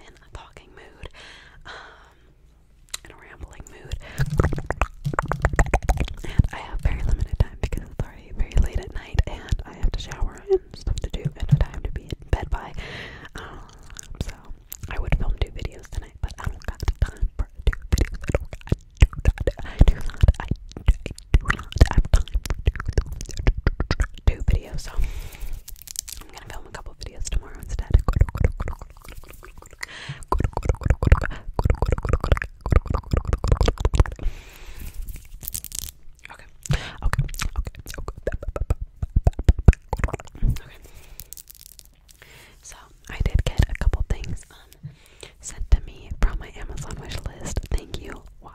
in a talking mood, um, in a rambling mood. And I have very limited time because it's already very late at night and I have to shower and stuff to do and a time to be in bed by. Um, so I would film two videos tonight, but I don't got the time for two videos. I don't got do not, I do not, I do not have time for two, two videos, so I'm gonna film a couple videos tomorrow instead. Okay. Okay. So I did get a couple things sent to me from my Amazon wish Thank you.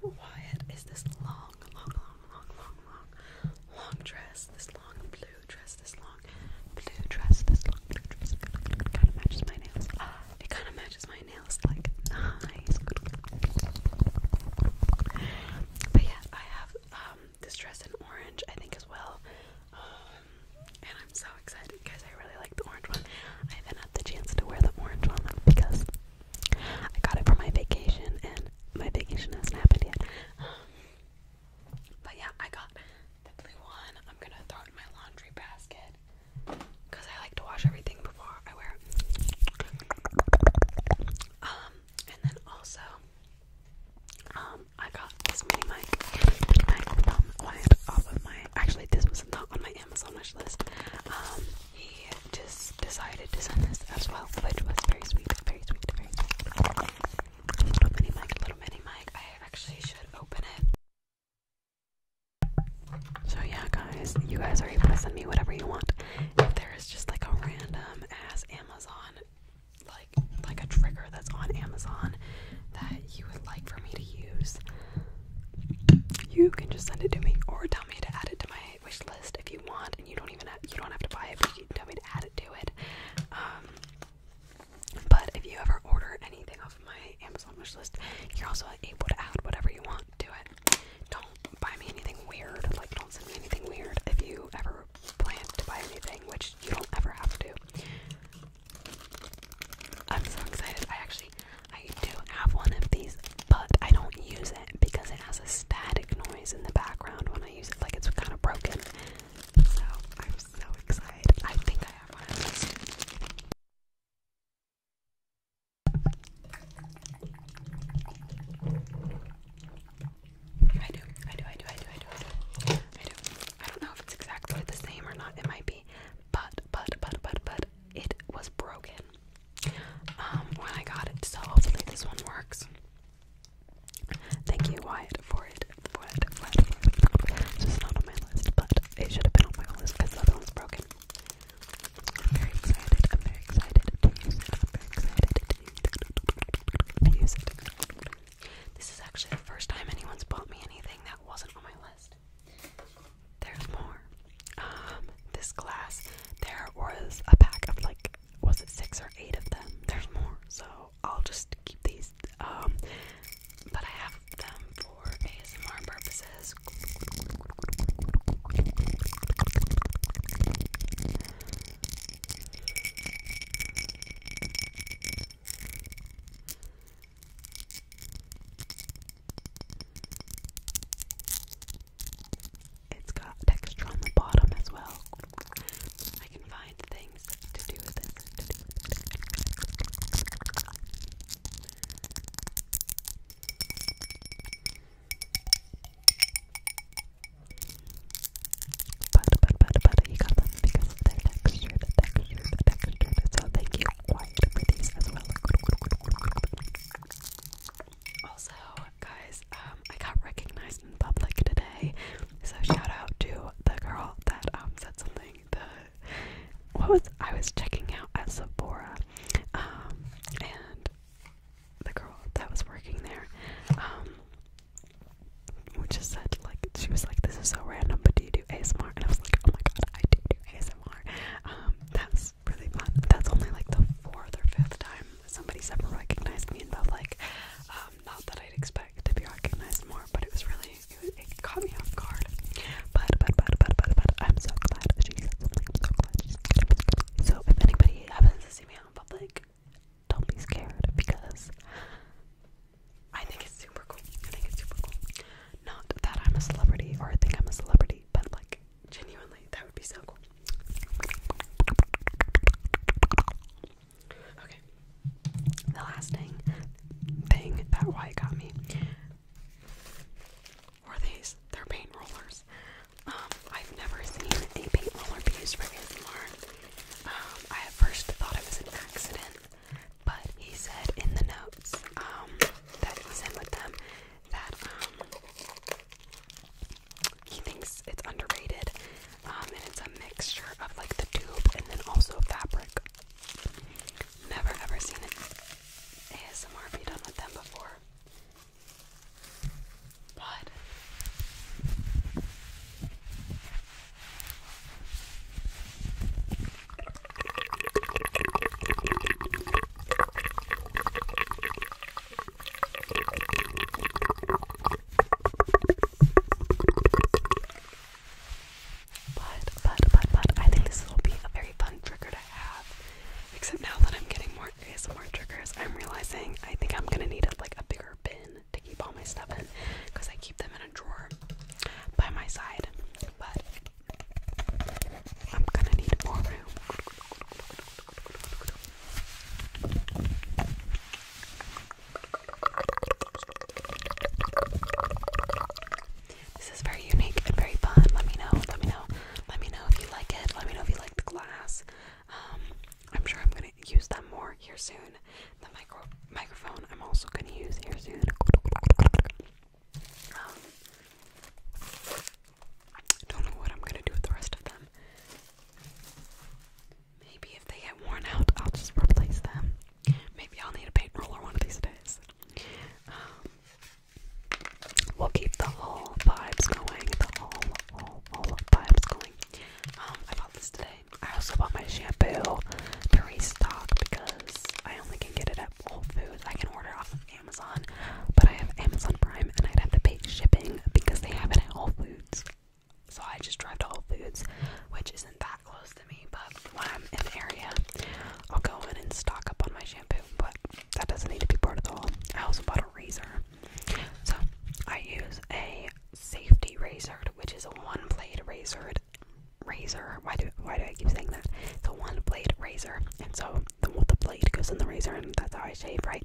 from Wyatt is this long, long, long, long, long, long, dress. This long blue dress. This long blue dress. This long dress. It kind of matches my nails. It kind of matches my nails. Like nice. But yeah, I have um, this dress in orange. I think as well. Um, and I'm so excited because I really like the orange one. I haven't had the chance to wear the orange one because I got it for my vacation, and my vacation hasn't happened yet. Um, but yeah, I got the blue one. I'm gonna throw it in my laundry basket because I like to wash everything before I wear it. Um, and then also, um, I got this mini mic, mic from Wyatt off of my. Actually, this was not on my Amazon wish list. Um, he just decided to send this as well, which was very sweet, very sweet, very sweet. Little mini mic, little mini mic. I actually should open it. So yeah, guys, you guys are able to send me whatever you want. If there is just like a random ass Amazon, like like a trigger that's on Amazon that you would like for me to use, you can just send it to me or tell me to add it to my wish list if you want and you don't even have, you don't have to buy it but you can tell me to add it to it um, but if you ever order anything off my Amazon wish list you're also able to add whatever you want to it don't buy me anything weird like don't send me anything weird if you ever plan to buy anything which you don't ever have to I'm so excited I actually I do have one of these, but I don't use it because it has a static noise in the background when I use it, like it's kind of broken. So I'm so excited. I think I have one I do, I do, I do, I do, I do, I do, I do. I don't know if it's exactly the same or not. It might be, but, but, but, but, but, it was broken. Um, when I got it. So hopefully this one works. Thank you, Wyatt, for it. For not on my list, but it should have been on my list because the one's broken. very excited. I'm very excited to use it. very excited to use it. This is actually the first time anyone's bought me anything that wasn't on my list. There's more. Um, this class, there was a pack of like, was it six or eight of them? There's more, so I'll just keep these. Um, but I have them for ASMR purposes. It's got texture on the bottom as well. I can find things to do with it. To do with it. you got them because of their texture, the texture, the texture. So, thank you also, guys, um, I got recognized in public today, so shout out to the girl that um said something. The what was I was checking out at Sephora, um, and the girl that was working there, um. just said like she was like this is so random, but do you do ASMR? And I was like, oh my god, I do do ASMR. Um, that's really fun. That's only like the fourth or fifth time somebody's ever recognized me in public. Um, not that I'd expect to be recognized more, but it was really it, it caught me off guard. But but but but but but I'm so glad that said something. i so glad she said So if anybody happens to see me in public, don't be scared because I think it's super cool. I think it's super cool. Not that I'm a celebrity or I think I'm a celebrity, but like genuinely, that would be so cool. Okay. The last thing thing that Y got me were these. They're paint rollers. Um, I've never seen a paint roller be used for ASMR. Um, I at first thought it was an accident but he said in the notes um, that he sent with them that um, he thinks it's underrated um, and it's a mixture of like the tube and then also fabric. Never ever seen ASMR be done with them before. But but, but, but, but, I think this will be a very fun trigger to have. Except now that I'm getting more ASMR triggers, I'm realizing I think I'm gonna need like a bigger bin to keep all my stuff in I keep them in a drawer by my side. But I'm gonna need more room. This is very unique and very fun. Let me know. Let me know. Let me know if you like it. Let me know if you like the glass. Um, I'm sure I'm gonna use them more here soon. The micro microphone I'm also gonna use here soon. I don't know what I'm gonna do with the rest of them. Maybe if they get worn out, I'll just replace them. Maybe I'll need a paint roller one of these days. Um, we'll keep the whole vibes going. The whole, whole, whole vibes going. Um, I bought this today. I also bought my shampoo to restock because I only can get it at Whole Foods. I can order off of Amazon, but I have Amazon Prime and I'd have to pay shipping because they have it at Whole Foods. So I just drive to Whole Foods, which isn't that close to me, but when I'm in the area, I'll go in and stock up on my shampoo, but that doesn't need to be part of the haul. I also bought a razor. So I use a safety razor, which is a one blade razor razor. Why do why do I keep saying that? It's a one blade razor, and so the the blade goes in the razor, and that's how I shave, right?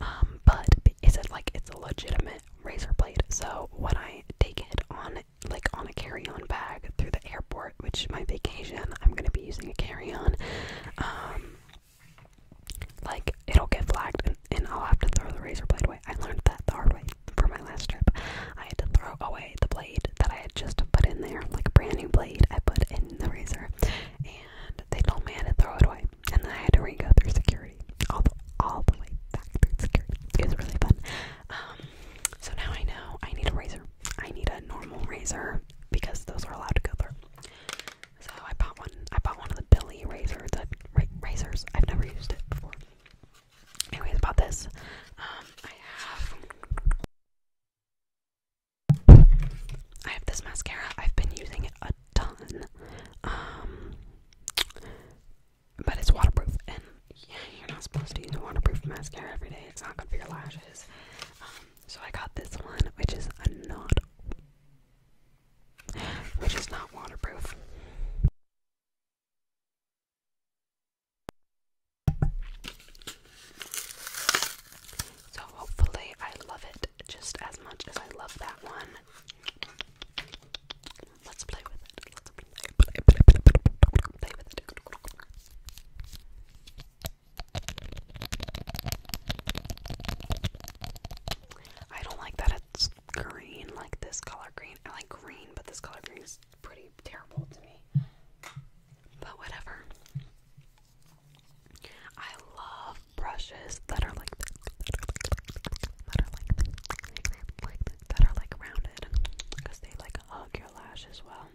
Um, but is a, like it's a legitimate razor blade. So when I take it on like on a carry-on bag through the airport, which my vacation, I'm gonna be using a carry-on. Um, like it'll get flagged, and, and I'll have to throw the razor blade away. I learned that the hard way for my last trip. I had to throw away the blade that I had just put in there, like a brand new blade I put in the razor, and they told me I had to throw it away. And then I had to re go through security, all the, all the way back through security. It was really fun. Um, so now I know I need a razor. I need a normal razor because those are allowed to go through. So I bought one. I bought one of the Billy razors. That uh, ra razors. I've never used it before. Anyways, about this, um, I have I have this mascara. I've been using it a ton. Um, but it's waterproof and yeah, you're not supposed to use a waterproof mascara every day. It's not good for your lashes. Um, so I got this one, which is not which is not waterproof. So hopefully I love it just as much as I love that one. Let's play with it. Let's play, play, play, play, with it. I don't like that it's green, like this color green. I like green, but this color green is pretty terrible to me. But whatever. I love brushes that are like that are like that are like rounded because they like hug your lash as well.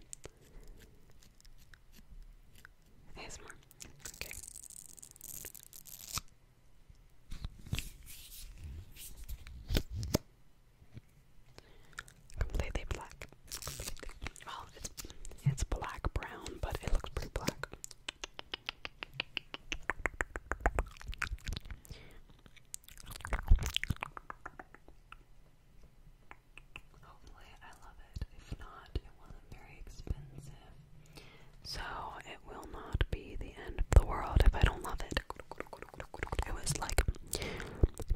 Completely black. Well, it's it's black brown, but it looks pretty black. Hopefully, I love it. If not, it wasn't very expensive. So, it will not be the end of the world if I don't love it. It was like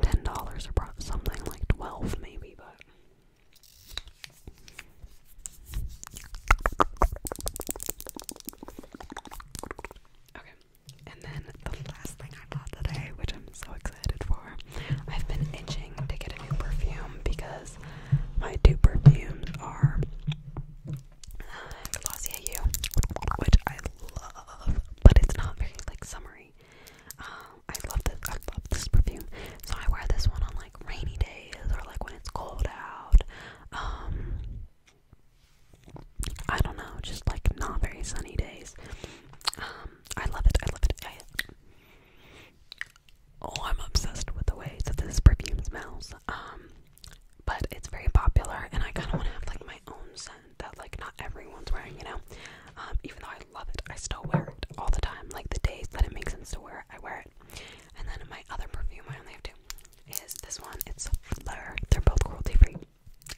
ten dollars or something, like twelve maybe, but. Okay, and then the last thing I bought today, which I'm so excited for, I've been itching to get a new perfume because my two perfumes are uh, which I love, but it's not very like summery. Um, I love this. I love this perfume. So I wear this one on like rainy days or like when it's cold out. Um, I don't know, just like not very sunny days. Um, I love it. I love it. I, oh, I'm obsessed with the way that this perfume smells. but it's very popular, and I kind of want to have like my own scent that like not everyone's wearing, you know. Um, even though I love it, I still wear it all the time. Like the days that it makes sense to wear it, I wear it. And then my other perfume, I only have two, is this one. It's Fleur. They're both cruelty free.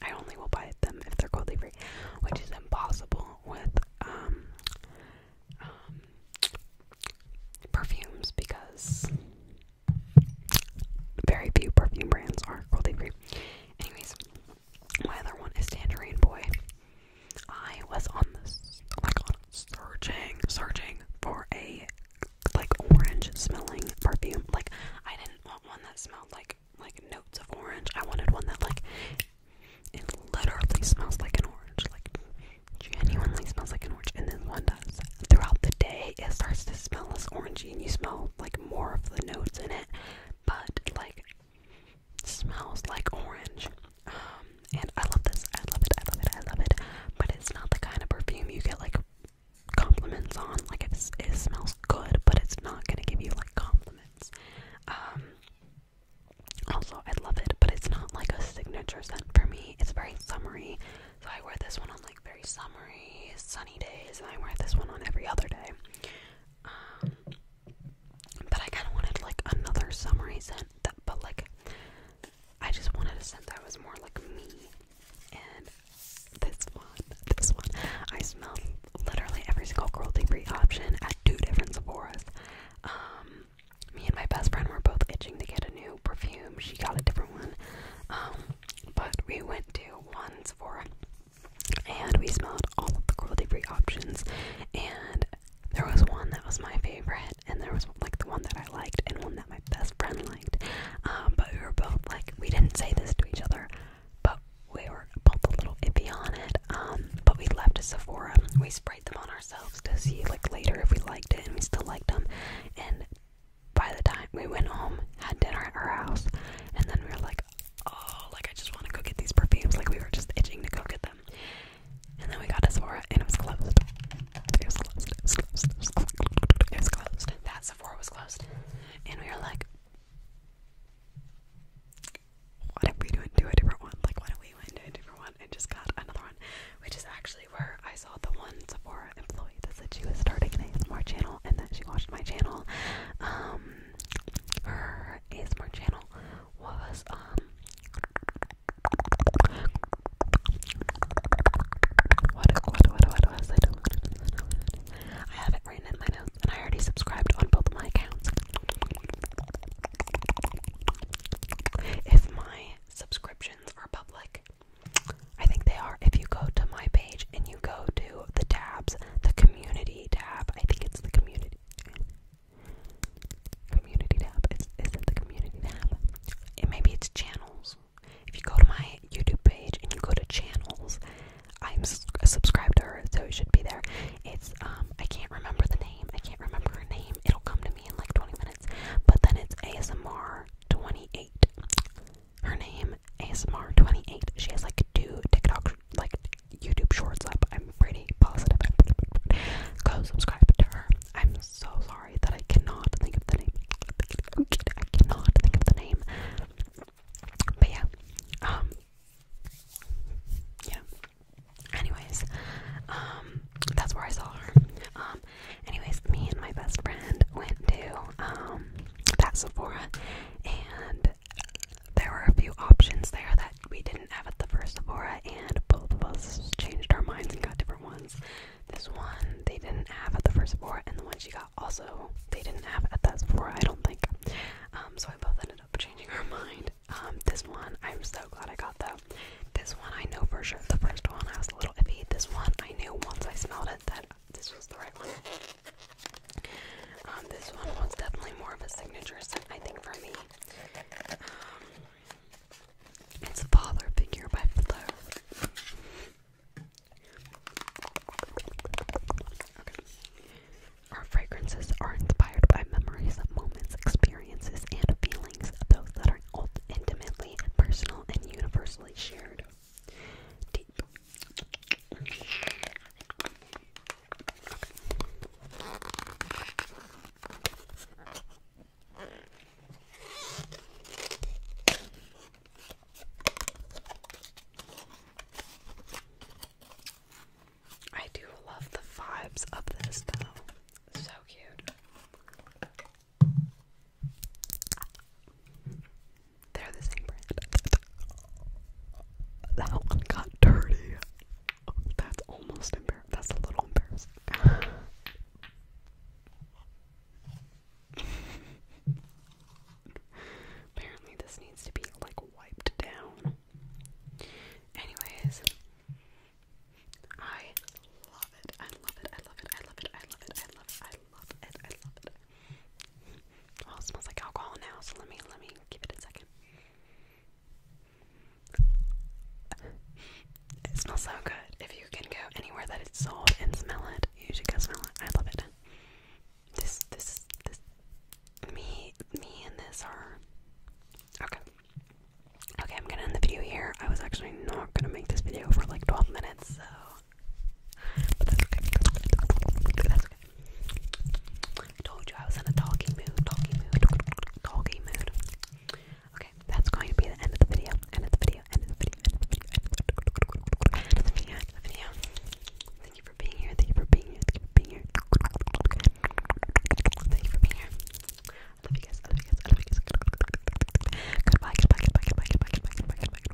I only will buy them if they're cruelty free, which is impossible with um, um, perfumes because very few perfume brands are cruelty free. Anyways, my other one is Tangerine Boy. I was on this, like, on searching, searching for a like orange smelling perfume. Like, I didn't want one that smelled like like notes of orange. I wanted one that like it literally smells like an orange. Like, genuinely smells like an orange. And then one does throughout the day, it starts to smell less orangey, and you smell like more of the notes in it but like smells like orange. Um, and I love this. I love it. I love it. I love it. But it's not the kind of perfume you get like compliments on. Like it's, it smells good, but it's not gonna give you like compliments. Um, also, I love it, but it's not like a signature scent for me. It's very summery. So I wear this one on like very summery, sunny days, and I wear this one on every other day. Um, but I kind of wanted like another summery scent, but like I just wanted a scent that was more like me. And this one, this one, I smelled literally every single cruelty free option at two different Sephora's. Um, me and my best friend were both itching to get a new perfume. She got a different one. Um, but we went to one Sephora and we smelled all of the cruelty free options and there was one that was my favorite and there was like the one that I liked and one that my best friend liked um, but we were both like we didn't say this to each other but we were both a little iffy on it um, but we left Sephora we sprayed them on ourselves to see like later if we liked it and we still liked them and by the time we went home had dinner at our house and then we were like oh, like I just want to go get these perfumes. Like we were just itching to go get them. And then we got to Sephora and it was closed. It was closed. It was closed. It was closed. It was closed. That Sephora was closed. And we were like, why don't we do it? Do a different one? Like why don't we went to a different one and just got another one? Which is actually where I saw the one Sephora employee that said she was starting an ASMR channel and that she watched my channel um her ASMR channel was um what what what what was I I have it written in my notes and I already subscribed on both my accounts. If my subscriptions are public, I think they are. If you go to my page and you go to the tabs, the community tab. I think it's the community community tab. It's, is it the community tab? It, maybe it's channels. If you go to my YouTube page and you go to channels, I'm subscribed to her, so it should be there. It's um, I can't remember the name. I can't remember her name. It'll come to me in like 20 minutes. But then it's ASMR 28 her name ASMR28. She has like two TikTok, like YouTube shorts up. I'm pretty positive. Go subscribe to her. I'm so sorry that I cannot think of the name. I cannot think of the name. But yeah, um, yeah. Anyways, um, that's where I saw her. Um, anyways, me and my best friend went to um that Sephora and there were a few options there that we didn't have at the first Sephora, and both of us changed our minds and got different ones. This one they didn't have at the first Sephora, and the one she got also they didn't have at that Sephora, I don't think. Um, so we both ended up changing our mind. Um, this one I'm so glad I got though. This one I know for sure. The first one I was a little iffy. This one I knew once I smelled it that this was the right one. Um, this one was definitely more of a signature scent, I think, for me. Um, it's Father Figure by Flo. Our fragrances are inspired by memories of moments, experiences, and feelings, those that are ultimately intimately personal and universally shared. I do love the vibes of this though. So cute. They're the same brand. That one got dirty. that's almost embarrassing. That's a little embarrassing. Apparently, this needs to be like wiped down. Anyways, I love it. I love it. I love it. I love it. I love it. I love it. I love it. I love it. I love it. Well, oh, smells like alcohol now, so let me let me give it a second. It smells so good. If you can go anywhere that it's sold and smell it, you should go smell it. I love it. This this this me me and this are okay. Okay, I'm gonna end the video here. I was actually not gonna make this video for like 12 minutes, so told you I was in a talking mood, talking mood, talking mood. Okay, that's going to be the end of the video. End of the video. End of the video. End of the video. End of the video. Thank you for being here. Thank you for being here. Thank you for being here. Thank you for being here. I love you guys. I love you guys. I love you guys. Goodbye. Goodbye. Goodbye. Goodbye. Goodbye. Goodbye. Goodbye. Goodbye.